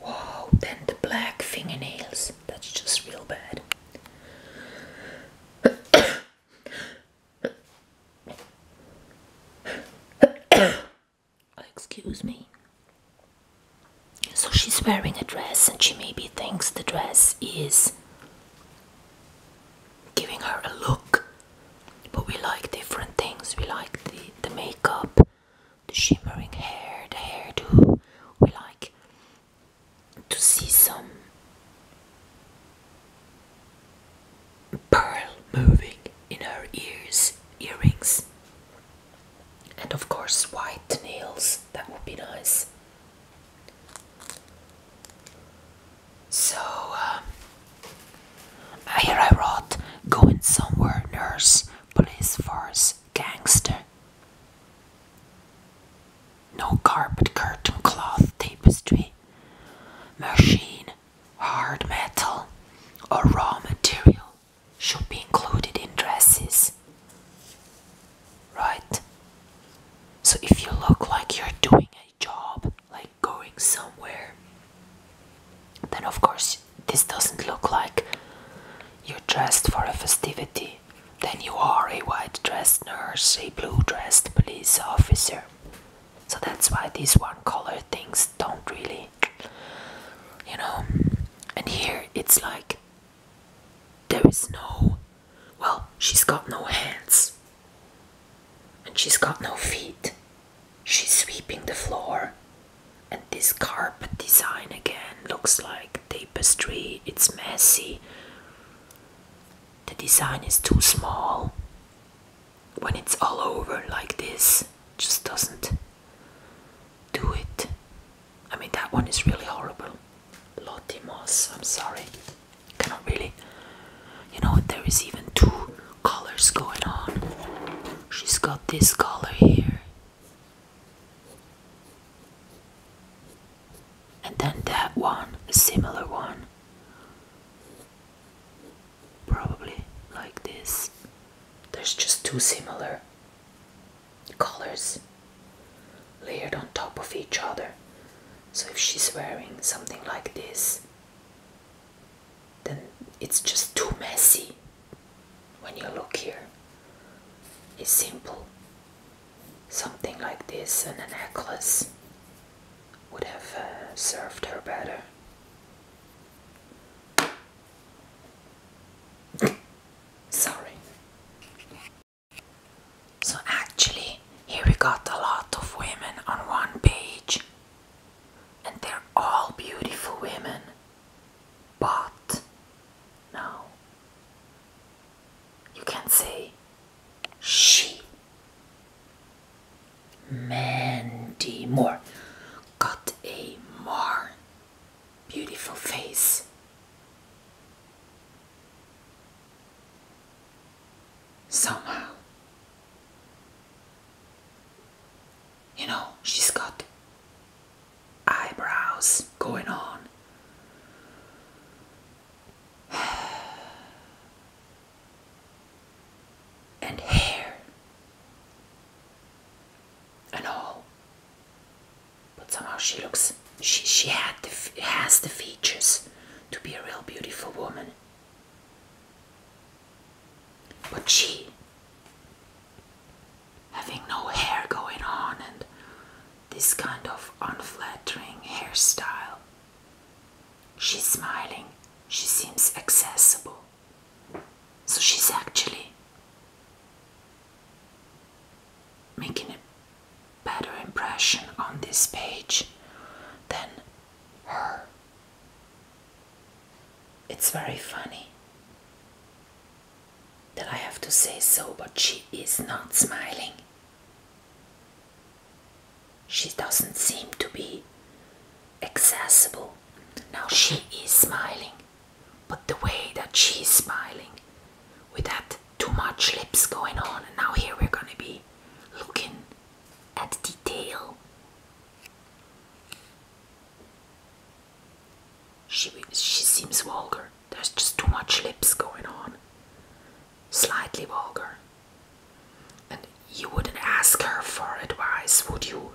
Wow, then the black fingernails. That's just real bad. Excuse me. So she's wearing a dress and she maybe thinks the dress is giving her a look. But we like different things. We like the, the makeup the shimmering hair, the hairdo. We like to see some pearl moving in her ears, earrings, and of course, white nails. That would be nice. So um, here I wrote, going somewhere, nurse police force, gangster. No carpet, curtain, cloth, tapestry, machine, hard metal, or raw material should be included in dresses. Right? So if you look like you're doing a job, like going somewhere, then of course this doesn't look like you're dressed for a festivity. Then you are a white dressed nurse, a blue dressed police officer. So that's why these one color things don't really, you know. And here it's like there is no, well, she's got no hands and she's got no feet. She's sweeping the floor. And this carpet design again looks like tapestry, it's messy. The design is too small. When it's all over like this, just doesn't do it. I mean, that one is really horrible. Lottie Moss, I'm sorry. Cannot really. You know, there is even two colors going on. She's got this color here. And then that one, a similar one. Probably like this. There's just two similar colors layered on top of each other. So if she's wearing something like this, then it's just too messy when you look here, it's simple. Something like this and a necklace would have uh, served her better. Sorry. So, actually, here we got a lot of women on one page, and they're all beautiful women but now you can say she. Mandy Moore got a more beautiful face. Somehow you know, she's got eyebrows going on. and hair and all but somehow she looks she she had the, has the features to be a real beautiful woman but she, having no hair going on and this kind of unflattering hairstyle, she's smiling, she seems accessible. So she's actually making a better impression on this page than her it's very funny that I have to say so, but she is not smiling. She doesn't seem to be accessible. Now she is smiling, but the way that she's smiling with that too much lips going on, and now here we're gonna be looking at detail. She, she seems vulgar. There's just too much lips going on. Slightly vulgar. And you wouldn't ask her for advice, would you?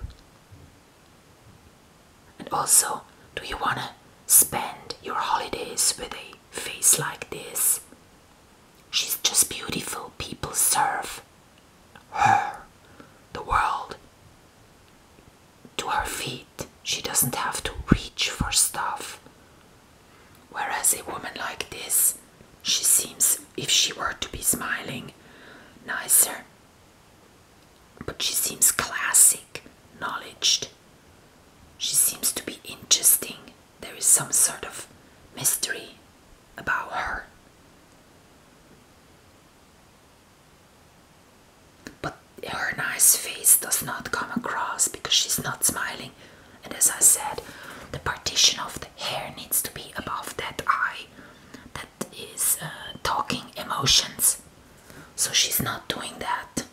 And also, do you want to spend your holidays with a face like this? She's just beautiful. People serve her, the world, to her feet. She doesn't have to reach for stuff. Whereas a woman like this, she seems, if she were to be smiling, nicer. But she seems classic, knowledged. She seems to be interesting. There is some sort of mystery about her. But her nice face does not come across because she's not smiling. And as I said, the partition of the hair needs to be above that eye that is uh, talking emotions. So she's not doing that.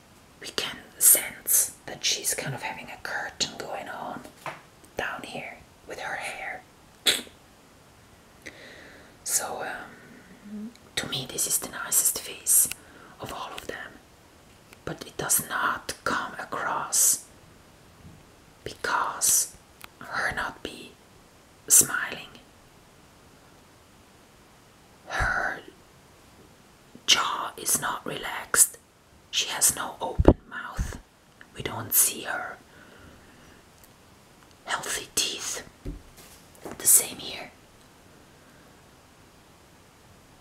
We can sense that she's kind of having a curtain going on down here with her hair. So, um, to me, this is the nicest face of all of them, but it does not come across because her not be smiling. Her jaw is not relaxed. She has no open mouth. We don't see her healthy teeth. The same here.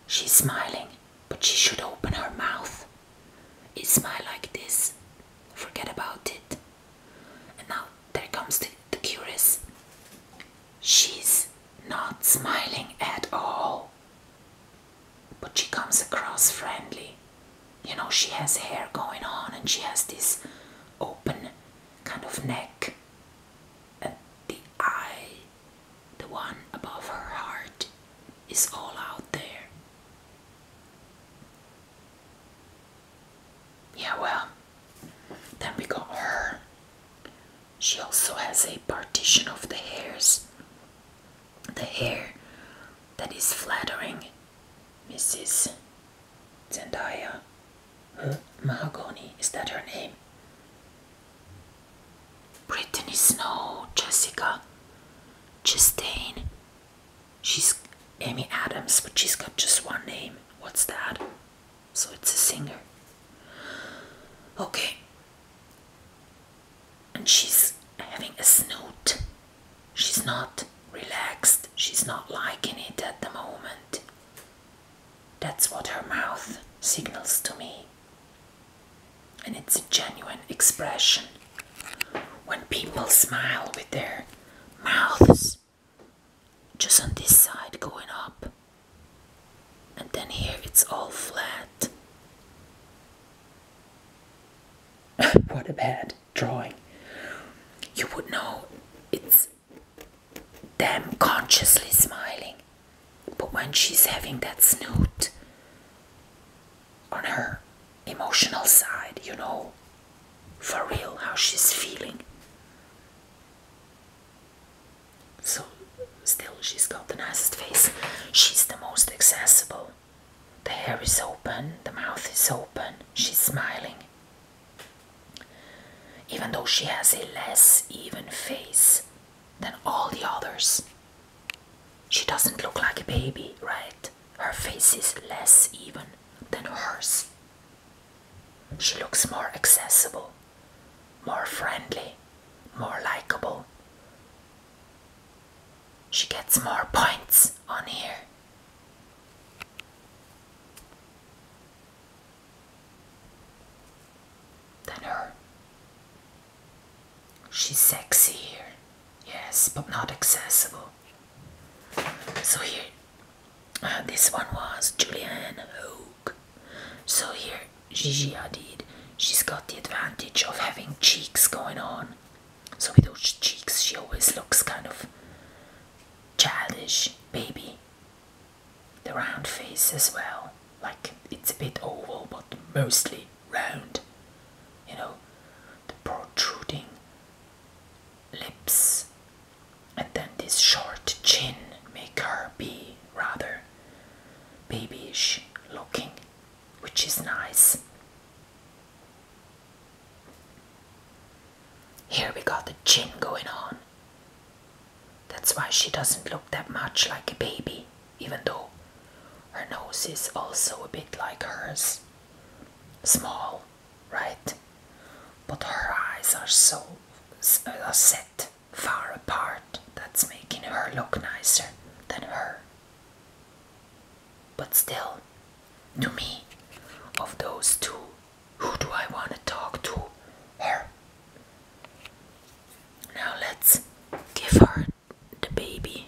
She's smiling, but she should open her mouth. It's smile like this. Forget about it. And now there comes the, the curious. She's not smiling at all. But she comes across friendly you know she has hair going on and she has this open kind of neck and the eye the one above her heart is all out there yeah well then we got her she also has a partition of the hairs the hair that is flattering mrs Zendaya? Huh? Mahogany, is that her name? Brittany Snow, Jessica Chastain. She's Amy Adams, but she's got just one name. What's that? So it's a singer. Okay. And she's having a snoot. She's not relaxed, she's not liking it at the moment. That's what her mouth signals to me. And it's a genuine expression. When people smile with their mouths just on this side going up, and then here it's all flat. what a bed drawing, you would know it's them consciously smiling. But when she's having that snoot on her emotional side, you know, for real, how she's feeling. So, still, she's got the nicest face. She's the most accessible. The hair is open, the mouth is open, she's smiling. Even though she has a less even face than all the others, she doesn't look like a baby, right? Her face is less even than hers. She looks more accessible, more friendly, more likable. She gets more points on here than her. She's sexy here, yes, but not accessible. So here, uh, this one was Julianne Hogue. So here, Gigi Hadid, she's got the advantage of having cheeks going on. So with those cheeks, she always looks kind of childish baby. The round face as well, like it's a bit oval but mostly round. You know, the protruding lips, and then this short chin make her be rather babyish looking, which is nice. Here we got the chin going on. That's why she doesn't look that much like a baby, even though her nose is also a bit like hers. Small, right? But her eyes are so are set far apart that's making her look nicer than her. But still, to me, of those two, who do I want to talk to? Her. Now let's give her the baby.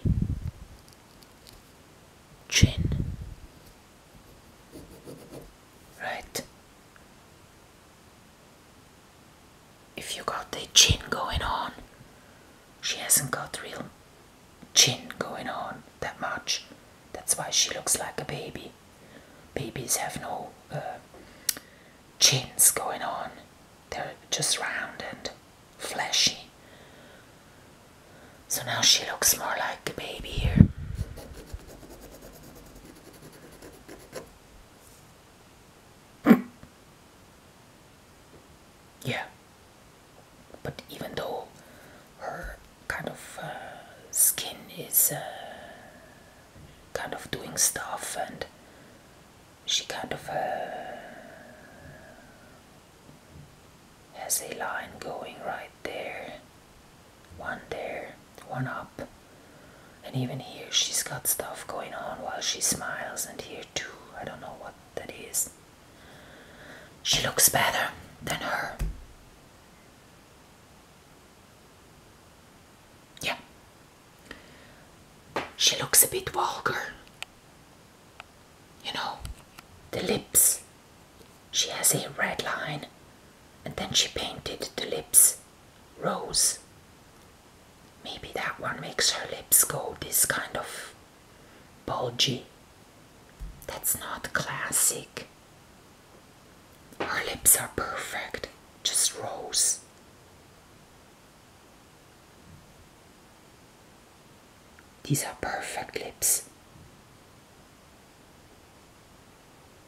Chin. Right. If you got the chin going on, she hasn't got real chin going on that much. That's why she looks like a baby. Babies have no uh, chins going on, they're just round and fleshy. So now she looks more like a baby here. Yeah. But even though her kind of uh, skin is uh, kind of doing stuff and she kind of uh, has a line going right there one there one up and even here she's got stuff going on while she smiles and here too i don't know what that is she looks better than her yeah. She looks a bit vulgar. You know, the lips. She has a red line and then she painted the lips rose. Maybe that one makes her lips go this kind of bulgy. That's not classic. Her lips are perfect, just rose. These are perfect lips.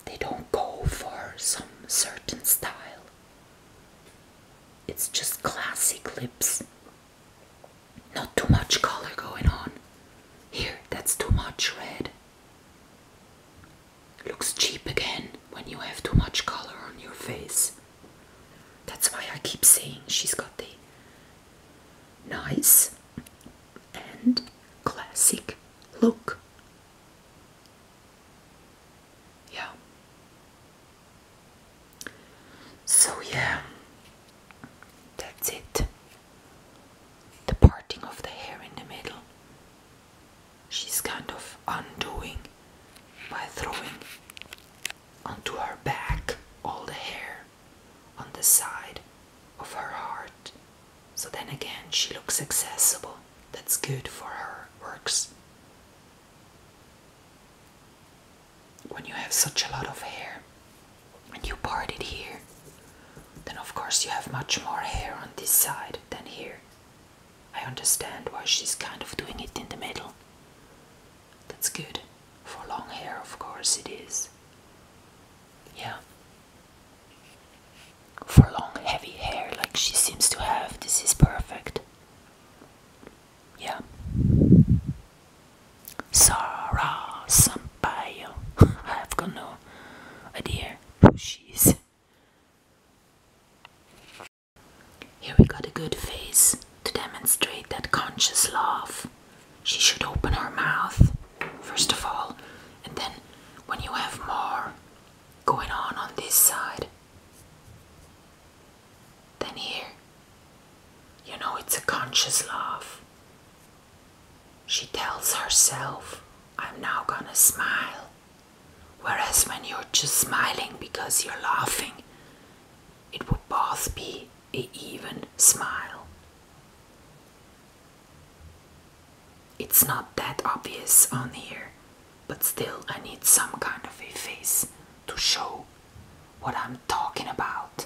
They don't go for some certain style. It's just classic lips. Not too much color going on. Here, that's too much red. Looks cheap again when you have too much color on your face. That's why I keep saying she's got the nice and classic look. Yeah. So, yeah, that's it. The parting of the hair in the middle. She's kind of undoing by throwing onto her back all the hair on the side of her heart. So then again, she looks accessible. That's good for her works. When you have such a lot of hair, and you part it here, then of course you have much more hair on this side than here. I understand why she's kind of doing it in the middle. That's good. For long hair, of course, it is. Yeah. For long, heavy hair like she seems to have, this is perfect. Yeah. Sarah Sampaio. I've got no idea who she is. Here we got a good face to demonstrate that conscious laugh. She should open her mouth, first of all, and then when you have more going on on this side, then here, you know it's a conscious laugh. She tells herself, I'm now gonna smile. Whereas when you're just smiling because you're laughing, it would both be a even smile. It's not that obvious on here, but still I need some kind of a face to show what I'm talking about.